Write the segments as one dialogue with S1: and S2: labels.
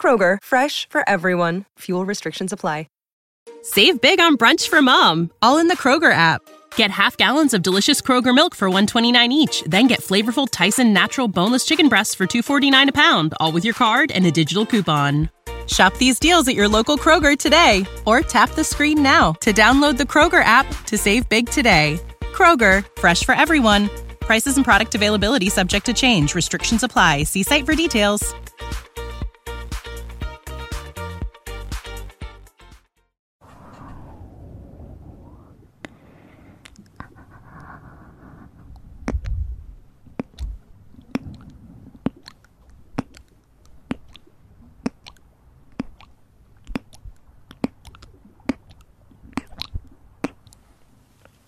S1: Kroger, fresh for everyone. Fuel restrictions apply. Save big on brunch for mom, all in the Kroger app. Get half gallons of delicious Kroger milk for 129 each, then get flavorful Tyson natural boneless chicken breasts for 249 a pound, all with your card and a digital coupon. Shop these deals at your local Kroger today or tap the screen now to download the Kroger app to save big today. Kroger fresh for everyone. Prices and product availability subject to change. Restrictions apply. See site for details.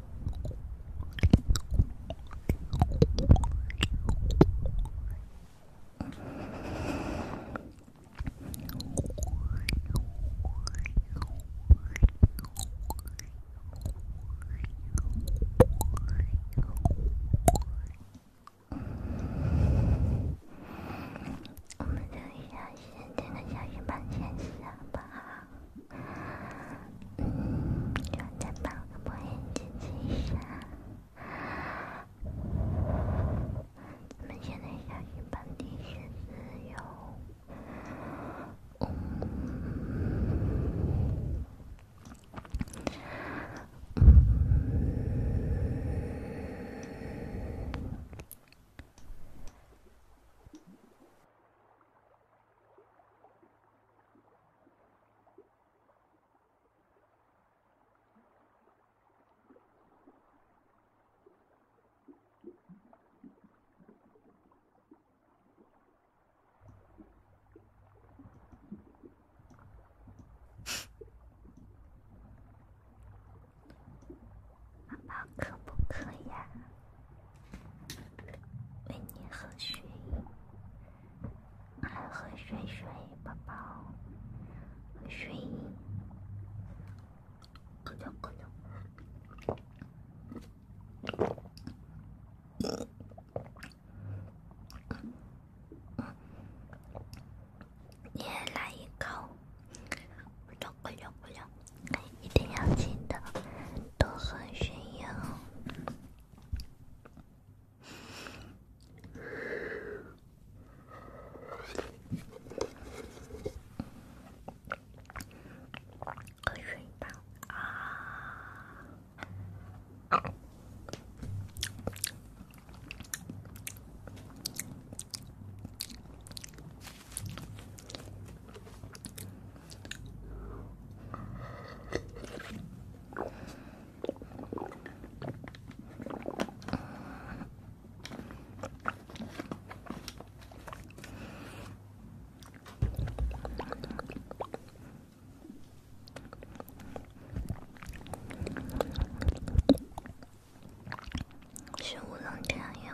S2: 我们等一下，先听个小鱼慢潜水吧。嗯，现在把播音进行一下。咱们现在想一本地是只有，嗯。宝宝可不渴呀？喂，你喝水？来喝水，水宝宝，喝水。咕咚咕咚，你也来一口。咕咚咕咚咕一定要记得。都很炫耀。是五龙天药。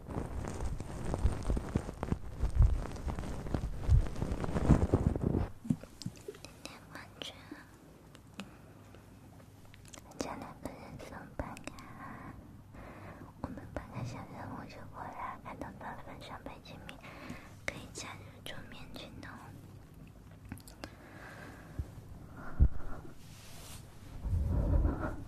S2: 天天冠军，将两个人送班卡。我们半个小时后就过来，看到老板上北京米，可以加入桌面群哦。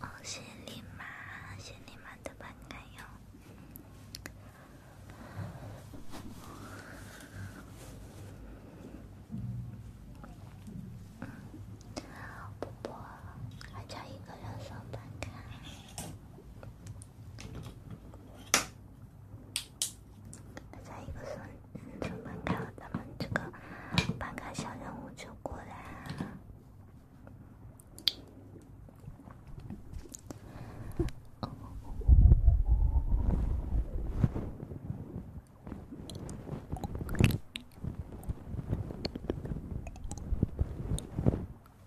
S2: 哦，谢你妈，谢你妈的板卡哟！婆婆，还差一个六双板卡。大家一个手准备开了，咱们这个半个小任务就过来了。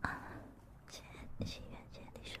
S2: 啊，建心愿，建你说。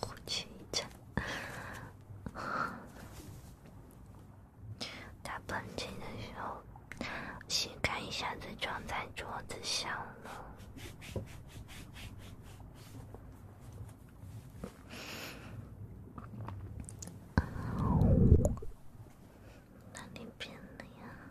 S2: 呼气一阵，打喷嚏的时候，膝盖一下子撞在桌子上了。哪里变了呀？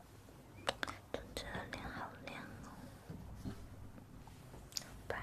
S2: 总觉得脸好亮哦，白。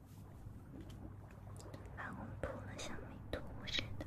S2: 把我们涂得像涂途似的。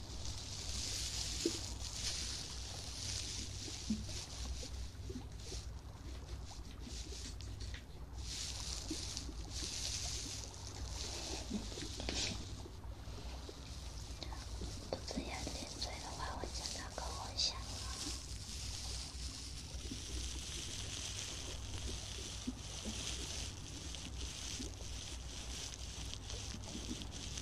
S2: 不这样进水的话，我真的够危险了。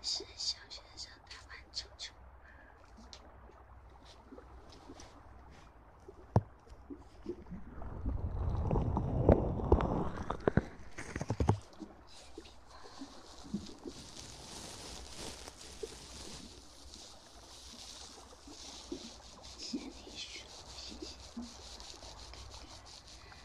S2: 是小学生打篮球球吗？心理学，心理学，我看看。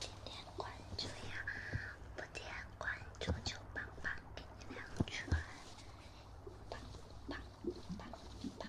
S2: 点点关注呀，不点关注就棒棒给你两拳！棒棒棒棒棒棒。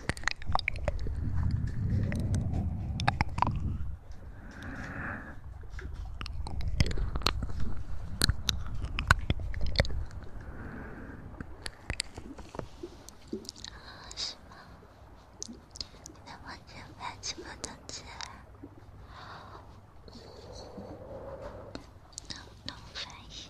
S2: 啊，是吗？你的文件夹怎么冻结了？能能翻一下？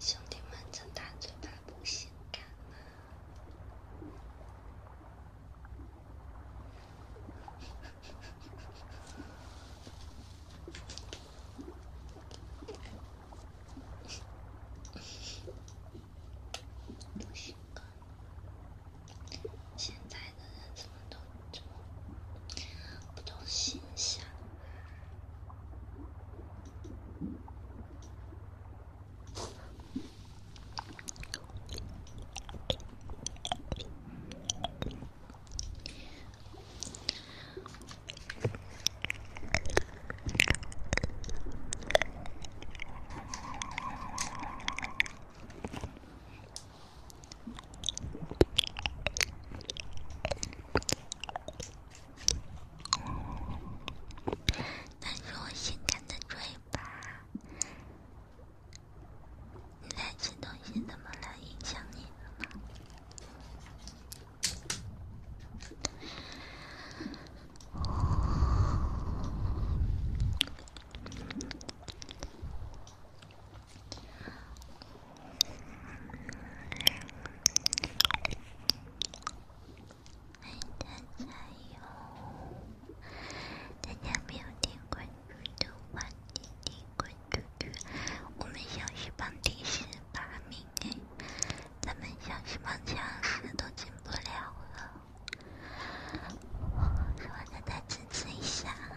S2: 兄弟们，这大嘴巴不性感吗？不行，哥！现在的人怎么都这么不懂形象。那是我性感的嘴巴，你在吃东西怎么来影响你的呢？大家好，大家没有点关注的，赶紧点关注！我们小翅膀电视把命给，咱们小翅膀僵尸都进不了了。我再支持一下，好吗？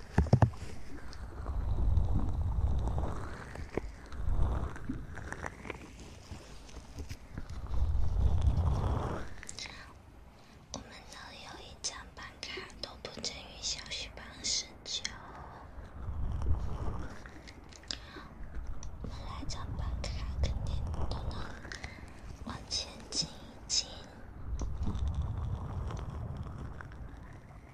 S2: 我们都有一张班卡，都不至于小许班十九。我们来张班卡，肯定都能往前进一进。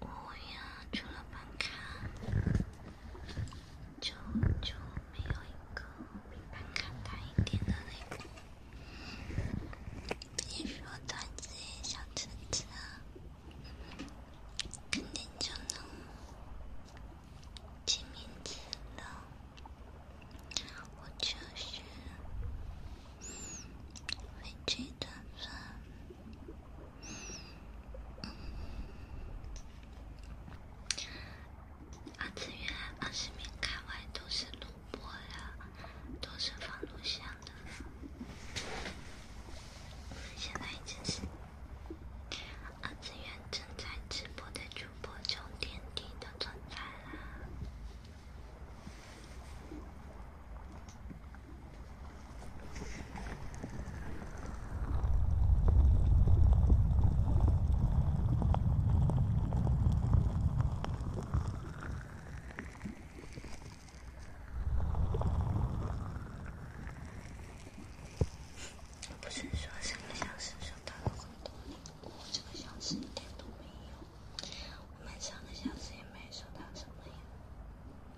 S2: 我呀，除了办卡，就就没有一个比办卡大一点的那个。别说团子、小橙子，肯定就能记名字了。我就是飞机团子。二次元二十米开外都是录播的，都是放录像的。我们现在已经是二次元正在直播的主播中垫底的存在啦。不是说三个小时收到很多礼物，这个小时一点都没有。我们三个小时也没收到什么呀。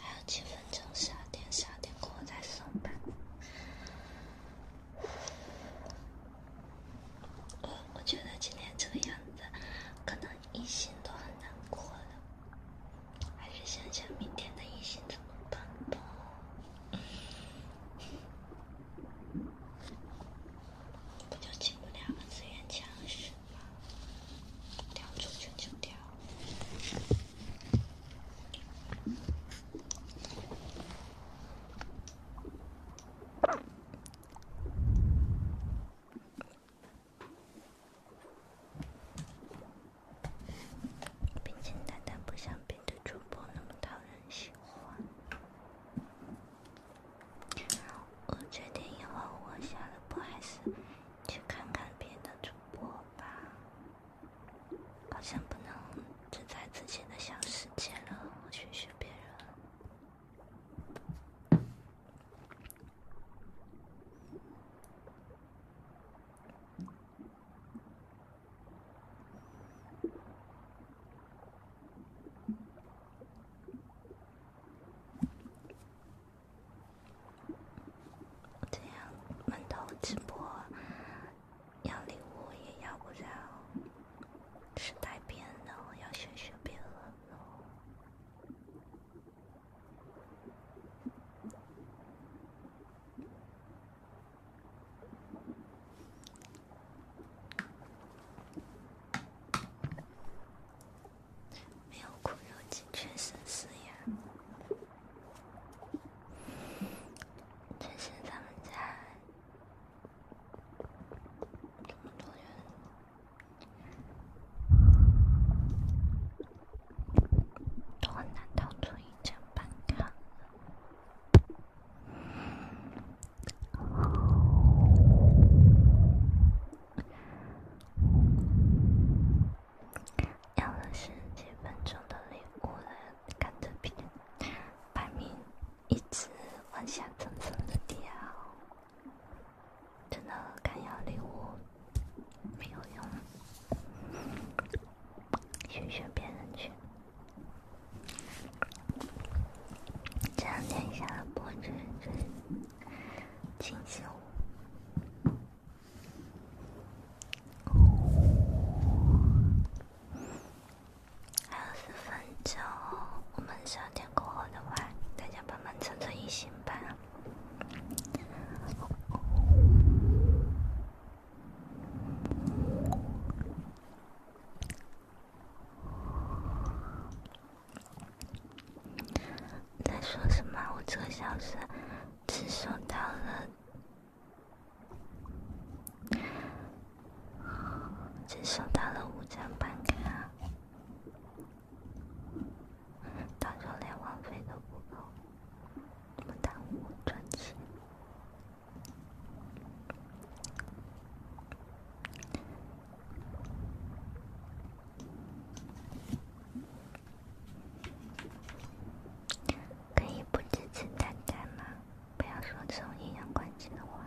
S2: 还有几分钟，下电下电，过再送吧。我我觉得今天这个样子，可能一心都很难过了。还是想想明天的一心怎么办吧。不就进不了资源墙是吗？掉出去就掉。很简单，但不像别的主播那么讨人喜欢。我决定以后我下的播还是去看看别的主播吧，好像不能只在自己的小世界了，学学别人。这样，晚上直播要礼物也要不了，是带别人的，要学学别人喽。没有苦肉计，确实死呀！这些咱们家这么多人都很难逃脱一劫半的。要了十几分钟的礼物，看着屏排名一直往下蹭蹭的掉，真的敢要礼物没有用，去选别人去。三点下播，这这清秀，还有四分钟，我们三点过后的晚，大家帮忙蹭蹭一星吧。在说什么？我这个小时只收到了，只收到了五张办卡，到时候连网费都不够，怎么耽误我赚钱？可以不支持单开吗？不要说这种阴阳怪气的话。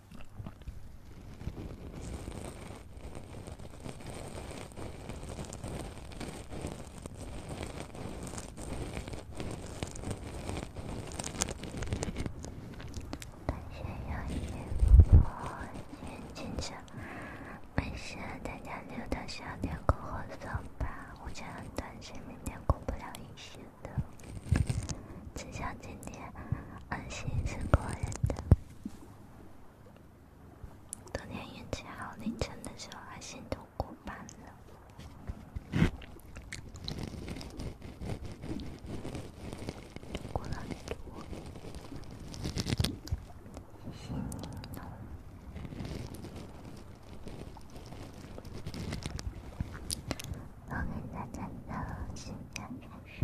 S2: 担心要辛苦，心情差，没事，大家溜达下，聊个和尚吧。我家担心明天过不了一线的。只想今天安心是过人的。昨天运气好，凌晨的时候安心都过班了。过来点，安心呢？我跟大家的分享结束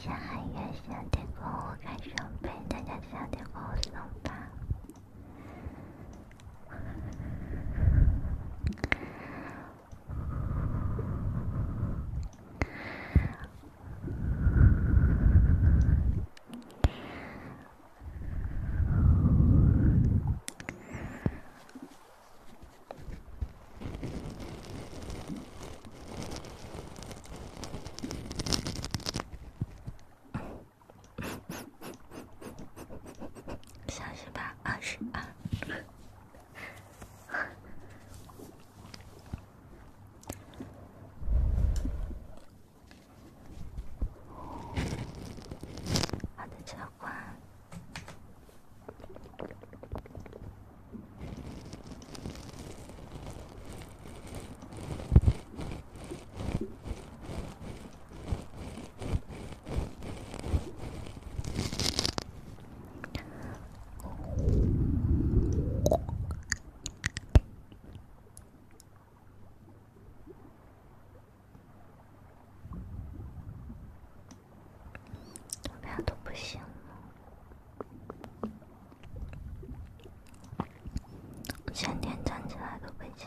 S2: 下个月夏天过后，看设备，大家夏天过后吧。小心吧，二十二。好的，切换。怎么样都不行。前天站起来都费劲。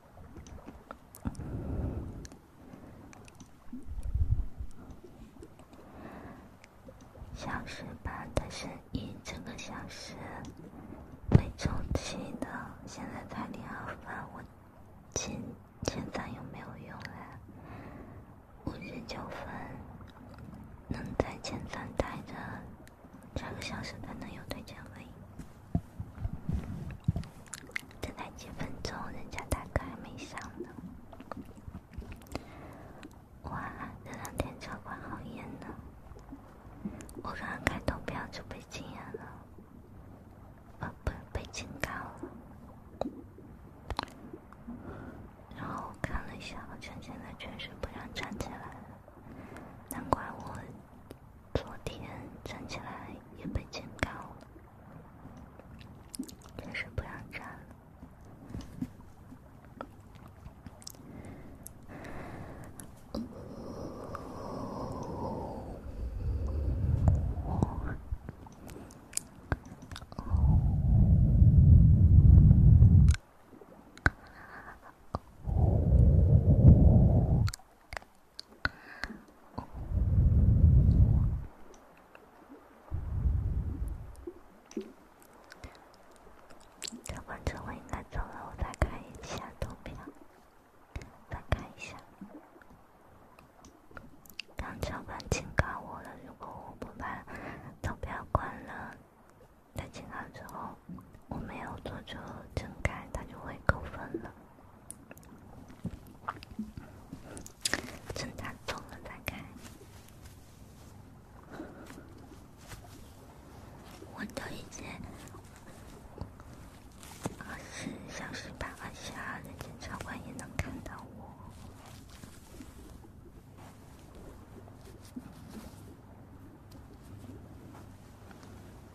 S2: 小时吧，它是一个小时被充起的，现在才零二分，我前前三有没有用啊？五十九分能在前三待着？这个小时可能有推荐位，等待几分钟，人家大哥还没上呢。哇，这两天场管好严呢。我刚刚开投票就被禁言了，啊，不被警告了。然后我看了一下，好像现在确实不让站起来难怪我。昨天站起来也被警告了，也是不让站。超管，超管应该走了，我再看一下投票，再看一下。刚超管警告我了，如果我不把投票关了，在警告之后。我没有做就睁开，他就会扣分了。睁大瞳了再开，我都已经二十四小时半，二十四人间长官也能看到我。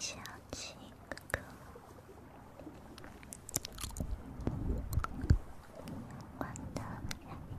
S2: 小七哥哥，玩的怎么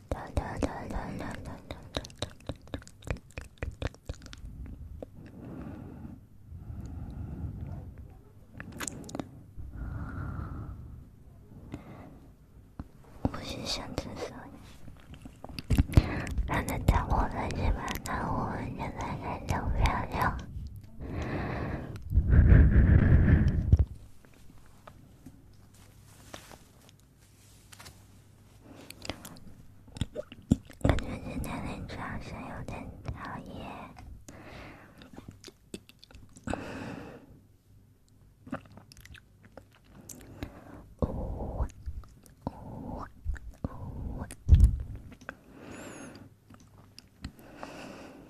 S2: 我是想自杀，但是在我自己面前，我现在感觉漂亮。感觉今天脸颊好像有点讨厌。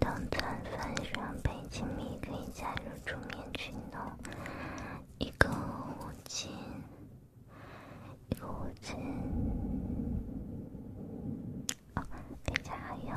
S2: 干冻层分双倍亲密，可以加入桌面群哦。一个五金。一个屋子，哦，冰箱还有。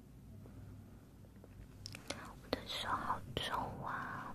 S2: 我的手好重啊！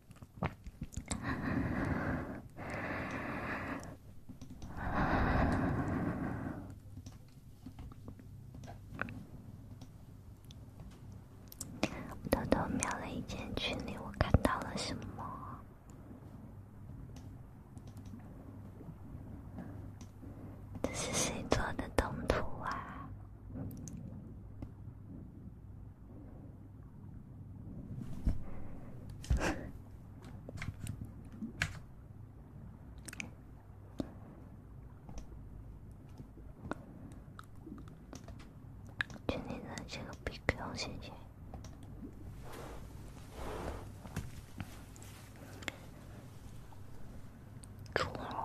S2: 偷偷瞄了一眼群里，我看到了什么？这是谁做的动图啊？群里那些个逼狗，谢谢。真好。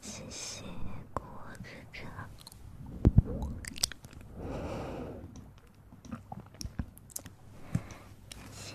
S2: 谢谢果果哥哥，感谢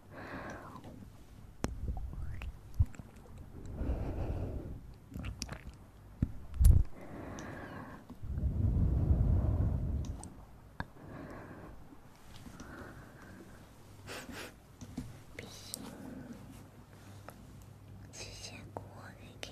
S1: 必须！谢谢果果的给。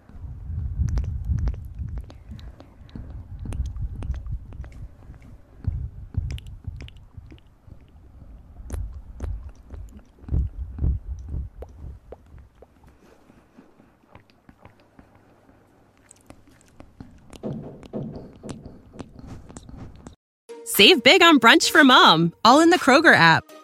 S1: Save big on brunch for mom, all in the Kroger app.